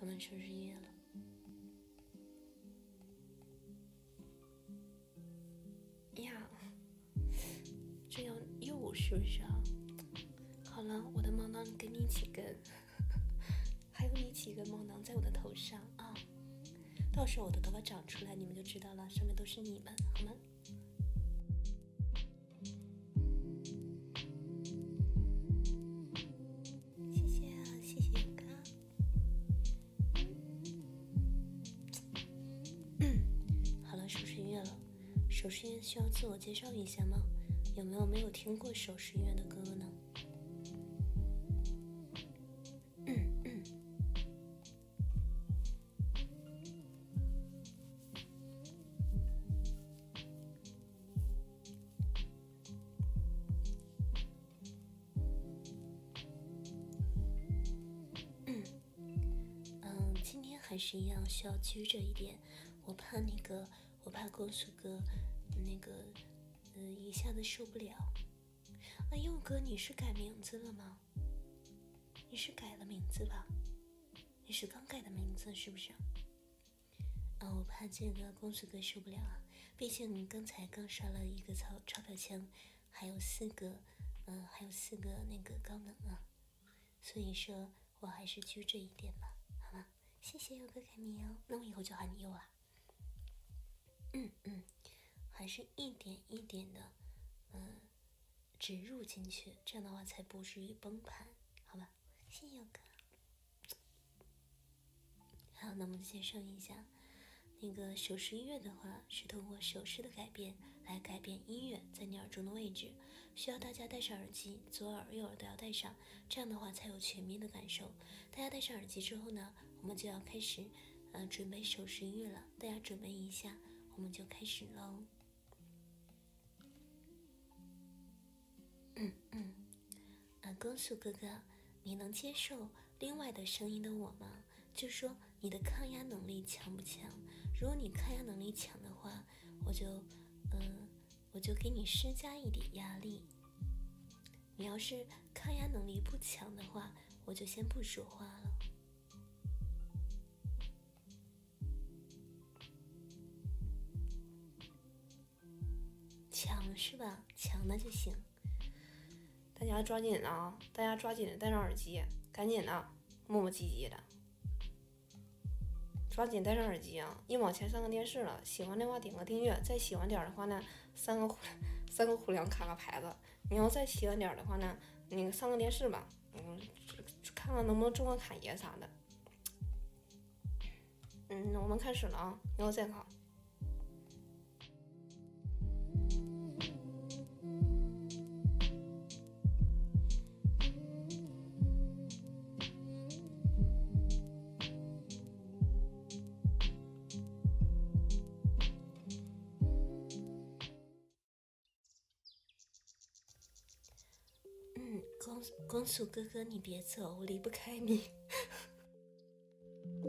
我们双十一了呀！这样又是不是啊？好了，我的毛囊给你几根，还有你几根毛囊在我的头上啊！到时候我的头发长出来，你们就知道了，上面都是你们，好吗？谢谢啊，谢谢歌。好了，首饰音乐了。首饰音乐需要自我介绍一下吗？有没有没有听过首饰音乐的歌呢？嗯，今天还是一样需要拘着一点，我怕那个，我怕公速哥那个，嗯，一下子受不了。哎，佑哥，你是改名字了吗？你是改了名字吧？你是刚改的名字是不是？啊，我怕这个公子哥受不了啊，毕竟刚才刚刷了一个超超表枪，还有四个，嗯，还有四个那个高能啊，所以说我还是拘着一点吧，好吗？谢谢佑哥改名哦，那我以后就喊你佑啊。嗯嗯，还是一点一点的，嗯。植入进去，这样的话才不至于崩盘，好吧？谢谢哥。好，那我们先明一下那个手势音乐的话，是通过手势的改变来改变音乐在你耳中的位置。需要大家戴上耳机，左耳、右耳都要戴上，这样的话才有全面的感受。大家戴上耳机之后呢，我们就要开始，呃，准备手势音乐了。大家准备一下，我们就开始喽。嗯嗯，啊，光速哥哥，你能接受另外的声音的我吗？就说你的抗压能力强不强？如果你抗压能力强的话，我就嗯，我就给你施加一点压力；你要是抗压能力不强的话，我就先不说话了。抢是吧？抢的就行，大家抓紧啊！大家抓紧带上耳机，赶紧的，磨磨唧唧的，抓紧带上耳机啊！一往前上个电视了，喜欢的话点个订阅，再喜欢点的话呢，三个三个虎粮卡个牌子，你要再喜欢点的话呢，你上个电视吧。嗯，看看能不能中个卡爷啥的。嗯，我们开始了啊，你后再考。嗯，公公叔哥哥，你别走，我离不开你。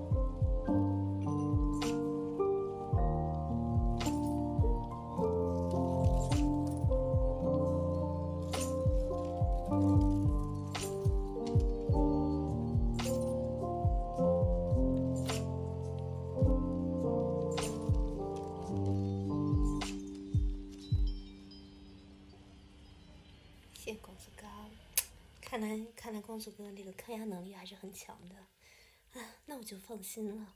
谢公子哥。看来，看来光祖哥那个抗压能力还是很强的，啊，那我就放心了。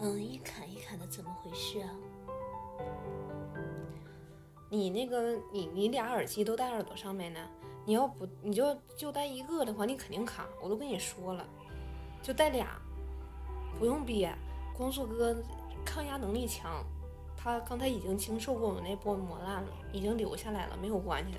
嗯，一卡一卡的，怎么回事啊？你那个，你你俩耳机都戴耳朵上面呢，你要不你就就戴一个的话，你肯定卡。我都跟你说了，就戴俩，不用憋。光速哥抗压能力强，他刚才已经经受过我们那波磨难了，已经留下来了，没有关系。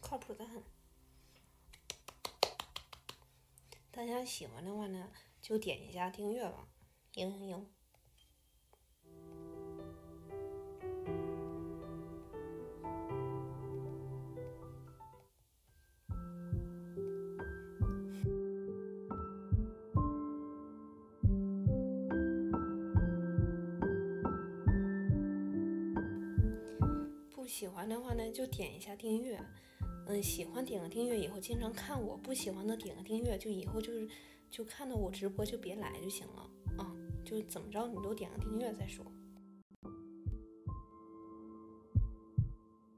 靠谱的很，大家喜欢的话呢，就点一下订阅吧，嘤嘤嘤。不喜欢的话呢，就点一下订阅。嗯，喜欢点个订阅以后经常看我；不喜欢的点个订阅，就以后就是就看到我直播就别来就行了啊！就是怎么着，你都点个订阅再说。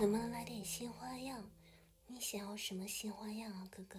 能不能来点新花样？你想要什么新花样啊，哥哥？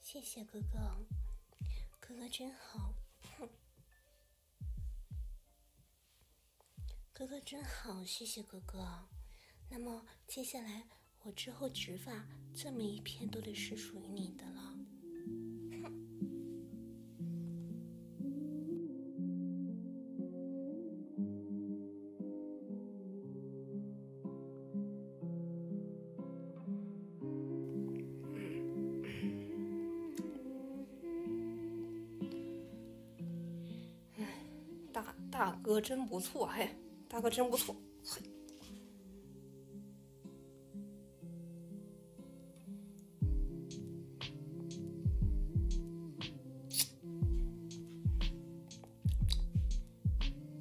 谢谢哥哥，哥哥真好。哥哥真好，谢谢哥哥。那么接下来我之后植发，这么一片都得是属于你的了。哎，大大哥真不错，嘿，大哥真不错，嘿，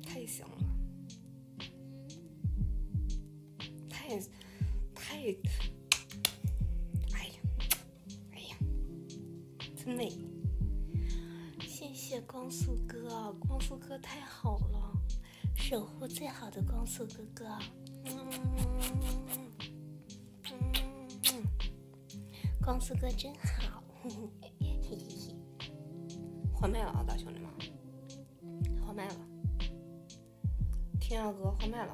太行了，太，太，哎呀！哎呀，真美！谢谢光速哥，光速哥太好了，守护最好的光速哥哥。嗯嗯，光速哥真好。换麦了啊，大兄弟们，换麦了。天涯哥，换麦了。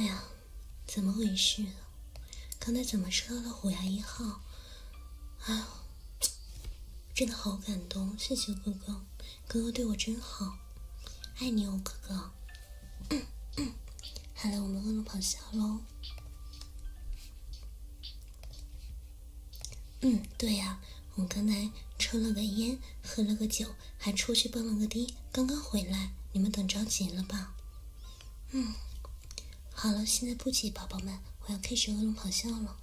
哎呀，怎么回事？啊？刚才怎么抽到了虎牙一号？哎呦，真的好感动！谢谢哥哥，哥哥对我真好，爱你哦，哥哥。嗯嗯、好了，我们饿了跑下喽。嗯，对呀，我刚才抽了个烟，喝了个酒，还出去蹦了个迪，刚刚回来，你们等着急了吧？嗯，好了，现在不急，宝宝们，我要开始恶龙咆哮了。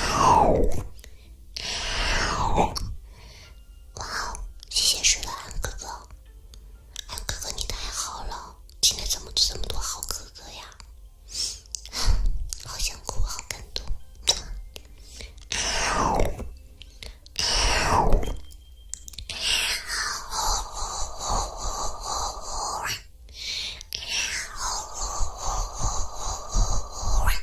龙咆哇哦！谢谢水暖哥哥，哥哥你太好了，今天怎么这么多好哥哥呀？好想哭，好感动。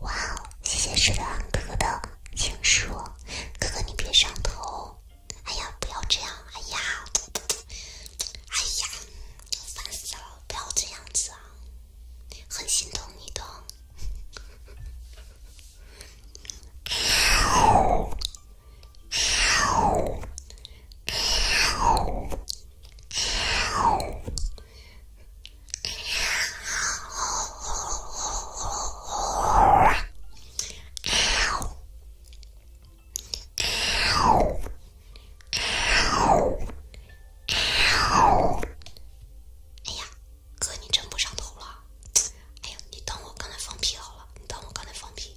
哇哦！谢谢赤狼哥的情书，哥哥你别上头！哎呀，不要这样！哎呀，哎呀，烦死了！不要这样子啊，很心疼你的。哎呀，哥，你真不上头了！哎呀，你等我刚才放屁好了，你等我刚才放屁。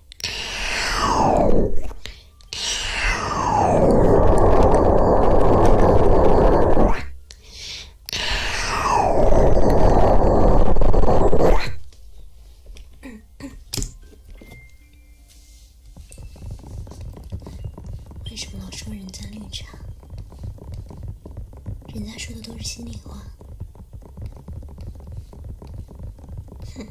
为什么老说人家绿茶？人家说的都是心里话。哼。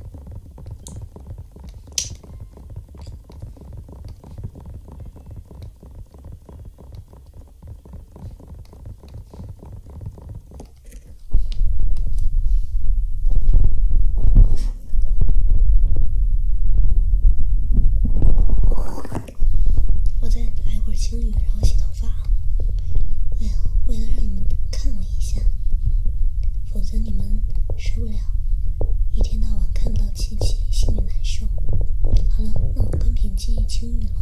我再来会儿轻雨，然后洗头发。哎呀，为了让你们看我一下。否则你们受不了一天到晚看不到亲戚心里难受好了那我跟平静一亲你了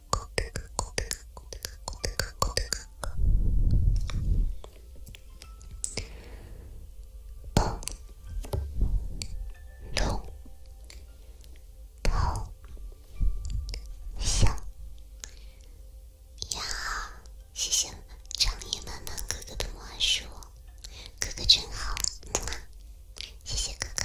哥哥哥哥真好。谢谢哥哥。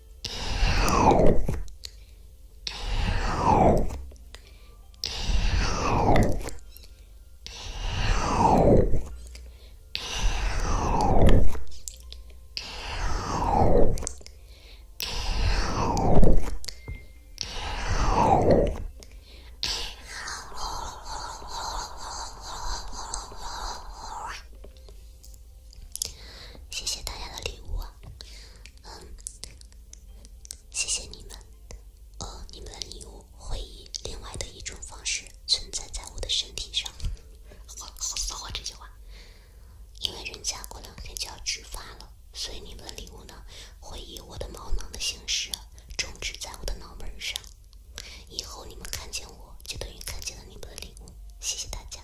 谢谢大家的礼物。嗯，谢谢你们。呃，你们的礼物会以另外的一种方式存在在我的身体上。好好骚啊这句话，因为人家过两天就要植发了，所以你们的礼物呢，会以我的毛囊的形式种植在我的脑门上。以后你们看见我就等于看见了你们的礼物。谢谢大家。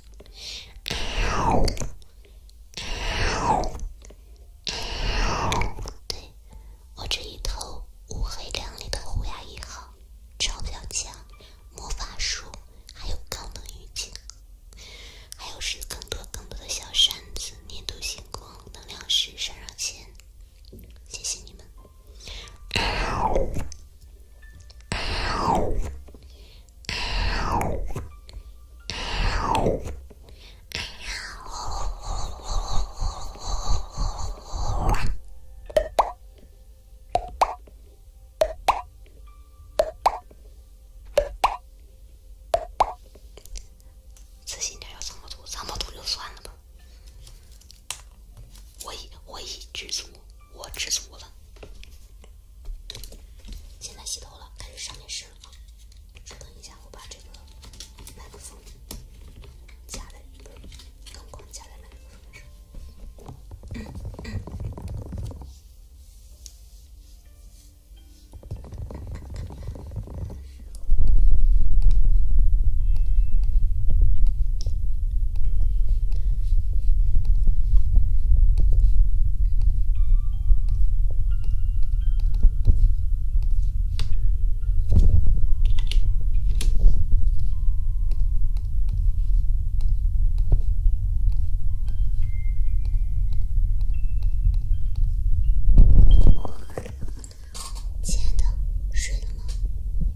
对，我这一头乌黑亮丽的虎牙一号，钞票枪，魔法书，还有高能预警，还有是更多更多的小扇子，年度星光，能量石，闪闪线，谢谢你们。自信点，要三毛兔，三毛兔就算了吧。我已，我已知足。我知足了。现在洗头了，开始上电视了啊。等一下，我把这个麦克风加来，灯光加在麦克风。上。亲爱的，睡了。吗？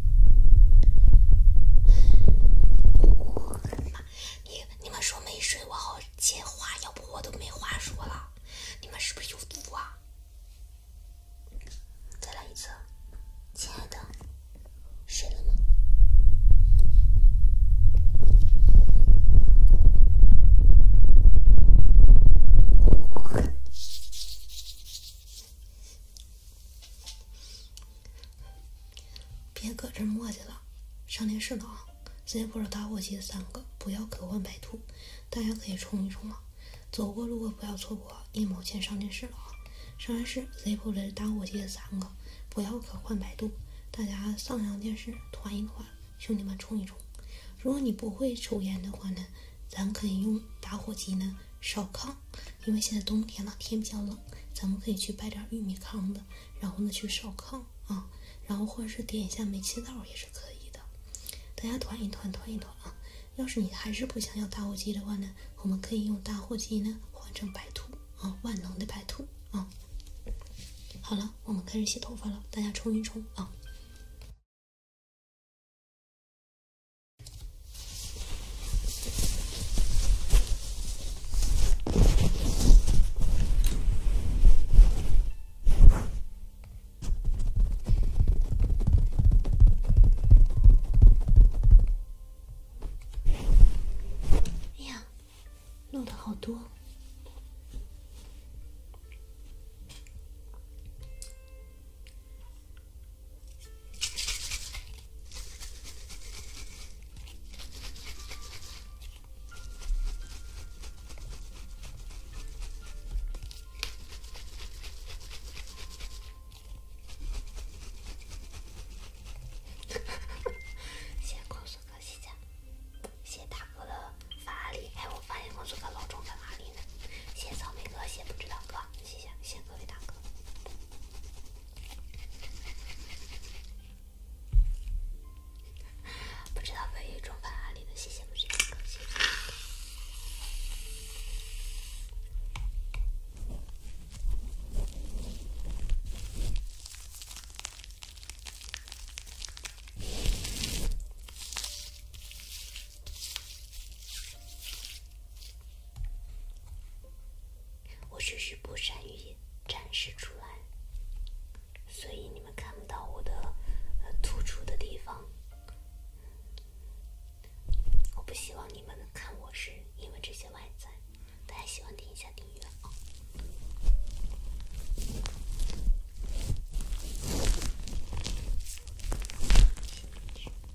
我的妈！你你们说没睡，我好接话，要不我都没话说了。你们是不是有毒啊？再来一次，亲爱的，睡了吗？别搁这磨叽了，上电视了！Zippo 打火机三个，不要可换百度，大家可以冲一冲了。走过路过不要错过，一毛钱上电视了啊！上电视，Zippo 的打火机三个，不要可换百度，大家上上电视团一团，兄弟们冲一冲。如果你不会抽烟的话呢，咱可以用打火机呢烧炕。因为现在冬天了，天比较冷，咱们可以去掰点玉米糠子，然后呢去烧炕啊，然后或者是点一下煤气灶也是可以的。大家团一团，团一团啊！要是你还是不想要打火机的话呢，我们可以用打火机呢换成白兔啊，万能的白兔啊！好了，我们开始洗头发了，大家冲一冲啊！哎呀，漏的好多。谢 谢公孙哥谢谢。谢谢大哥的法力。哎，我发现公孙哥老重在法力呢。谢草莓哥，谢不知道哥，谢谢，谢谢各位大哥。不知道被雨冲翻哪里的谢谢，不是客气。我只是不善于展示出来，所以你们看不到我的呃突出的地方。我不希望你们看我是因为这些外在。大家喜欢听一下订阅啊。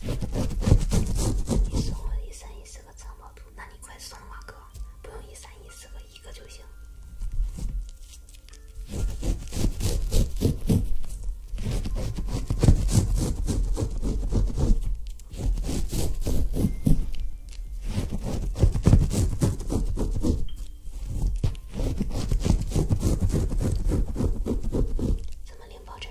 你送我一三一四个城堡图，那你快送吧，哥，不用一三一四个，一个就行。怎么连包真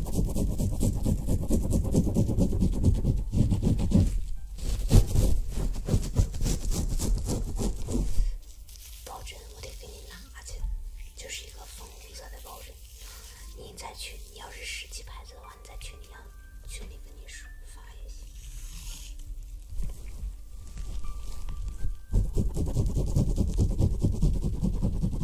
抱枕，我得给你拿去，就是一个粉红色的抱枕。您在群，你要是识记牌子的话，你在群里啊，群里跟你说发也行。不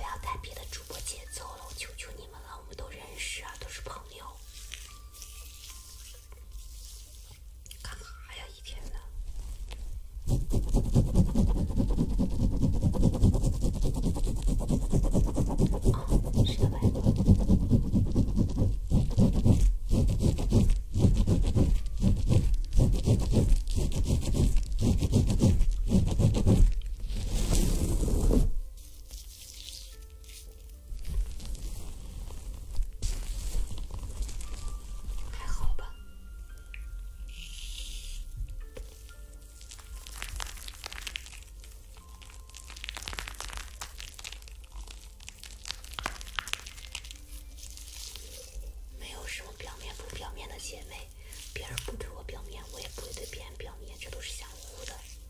要带别的主播节奏了，我求求你。们了，我们都认识啊，都是朋友。干嘛呀，一天呢？是的呗。还好吧。没有什么表面不表面的姐妹，别人不对我表面，我也不会对别人表面，这都是相互的。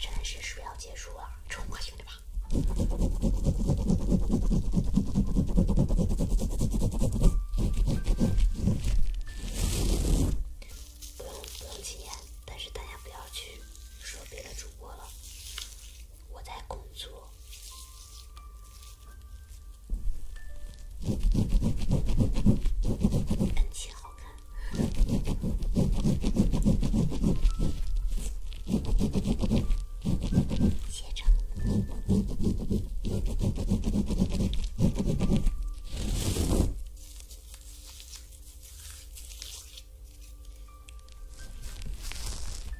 展示是不是要结束了？冲啊，兄弟们！不用不用禁言，但是大家不要去说别的主播了。我在工作。恩琪好看，接着。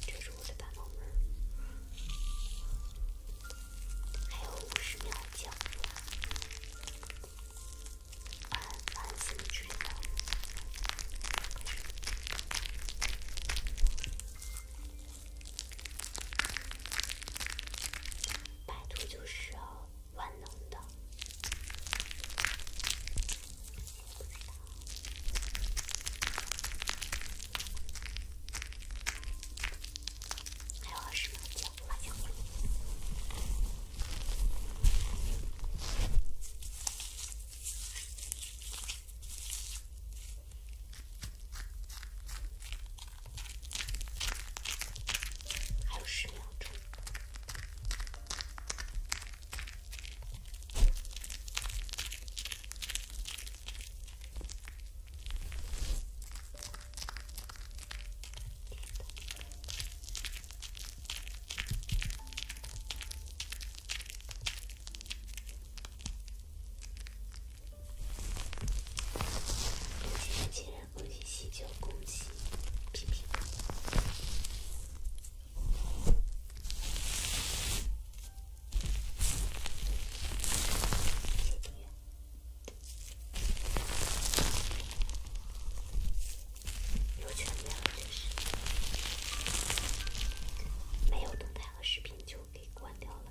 这是我的大脑门，还有五十秒结束。按蓝色指令，拜托就是啊。万能的，还有十秒钟，还有十秒钟。恭喜新人，恭喜喜酒，恭喜！有全屏，确实没有动态和视频就给关掉了。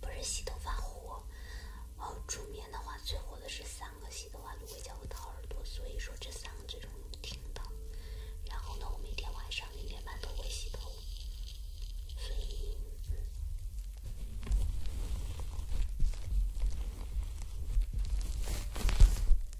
不是洗头发火，然后煮面的话最火的是三个洗头发、芦荟胶和掏耳朵，所以说这三个最容易听到。然后呢，我每天晚上零点半都会洗头。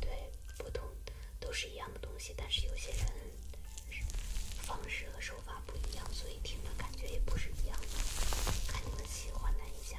对，不同都是一样的东西，但是有些人方式和手法不一样，所以听着感觉也不是一样的。看你们喜欢哪一家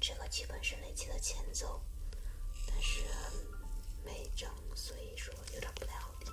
这个剧本是雷奇的前奏，但是没整，所以说有点不太好听。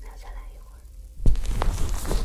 那再来一会儿。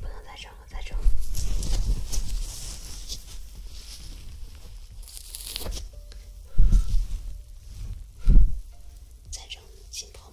不能再扔了，再扔，再浸泡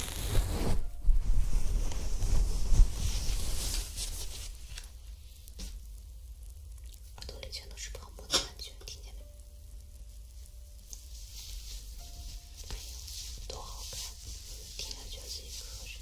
耳朵里全都是泡沫，完全听不见。哎呦，多好看！听上去自己歌声。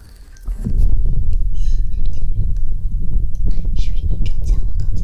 是不是你中奖了？刚才。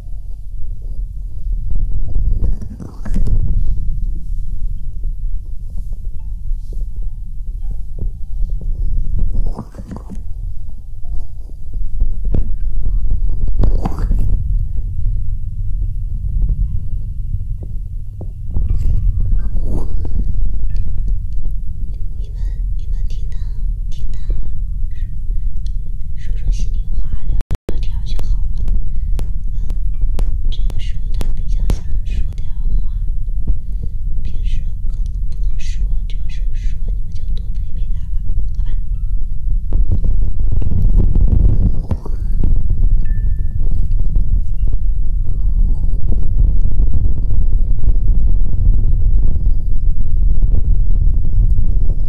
你们，你们听他，听他说说心里话了。聊就好了。嗯，这个时候他比较想说点话，平时可能不能说，这个时候说，你们就多陪陪他吧，好吧？我说，我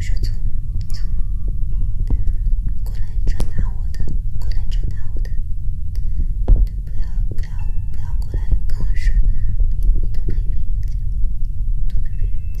说从从过来传达我的，过来传达我的，不要不要不要过来跟我说，多陪陪人家，多陪陪人家。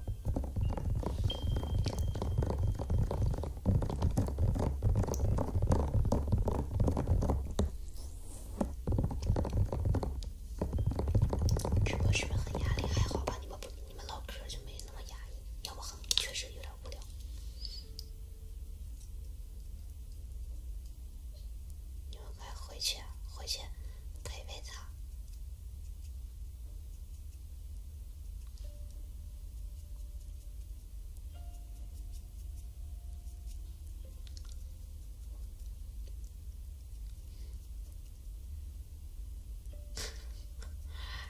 直播室很压力，还好吧？你们不你们唠嗑就没那么压抑，要不很确实有点无聊。你们快回去，回去陪陪他。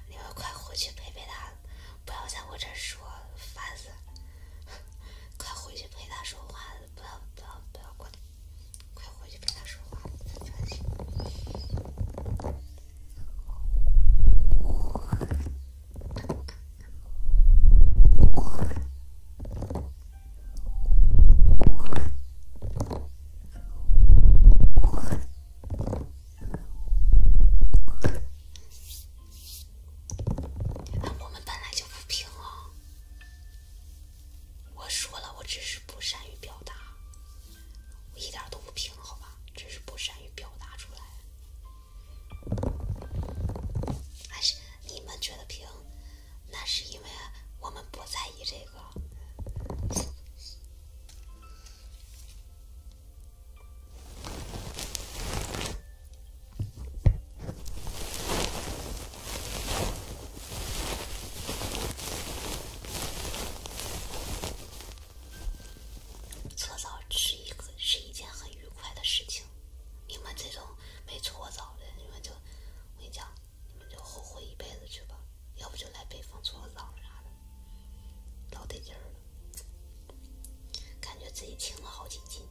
你们快回去陪陪他，不要在我这说，烦死了！快回去陪他说话，不要不要不要过来，快回去陪他说话，我们本来就不平衡。我说了，我只是不善于表达。我一点都不平，好吧，只是不善于表达出来。还是你们觉得平，那是因为我们不在意这个。搓澡是一个是一件很愉快的事情，你们这种没搓澡的，你们就我跟你讲，你们就后悔一辈子去吧，要不就来北方搓澡啥的，老得劲儿了，感觉自己轻了好几斤。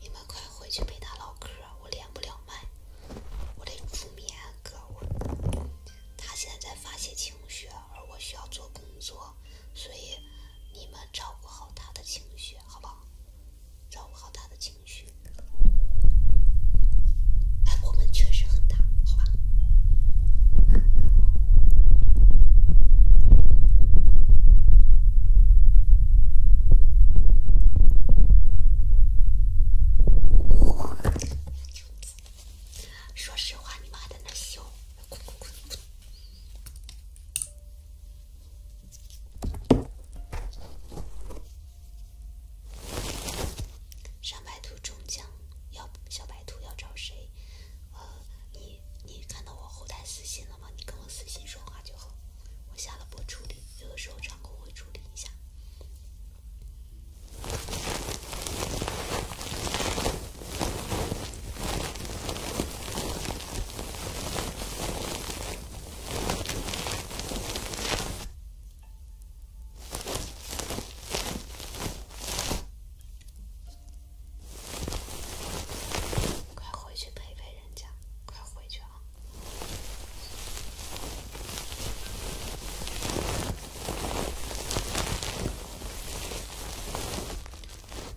你们快回去陪他唠嗑，我连不了麦，我得助眠哥，我他现在在发泄情绪。而我需要做工作，所以你们照顾好他的情绪，好不好？照顾好他的情绪。哎，我们确实很大，好吧？说实话，你们还在那笑，滚滚滚！上白兔中奖，要小白兔要找谁？呃，你你看到我后台私信了吗？你跟我私信说话就好，我下了播处理，有的时候场控会处理一下。快回去陪陪人家，快回去啊！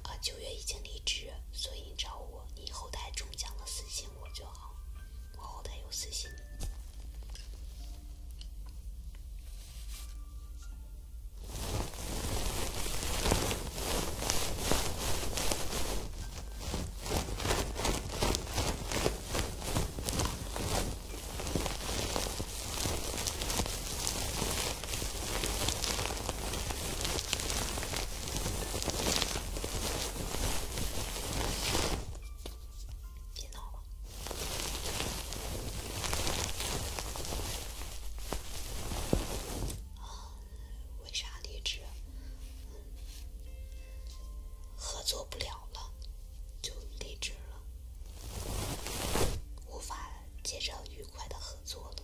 啊，九月已经离职，所以你找我，你后台中奖了私信我就好，我后台有私信。别闹了。为啥离职？合作不了了，就离职了，无法接着愉快的合作了。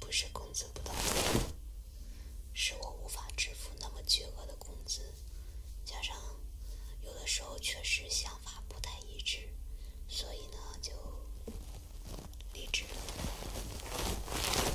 不是工资不到，位，是我无法支付那么巨额的工资，加上有的时候确实想法不太一致，所以呢就离职了。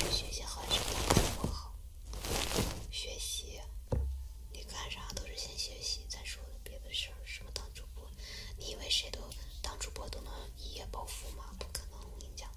是学习好还是当主播好？学习，你干啥都是先学习，再说的别的事儿。什么当主播？你以为谁都当主播都能一夜暴富吗？不可能，我跟你讲。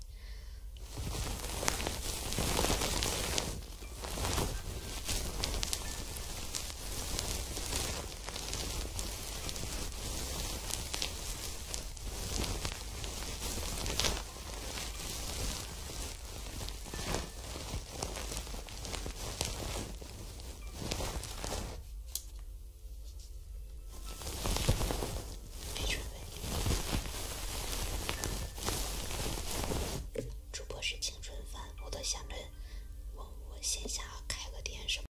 准备。主播是青春饭，我都想着，我我线下开个店什么。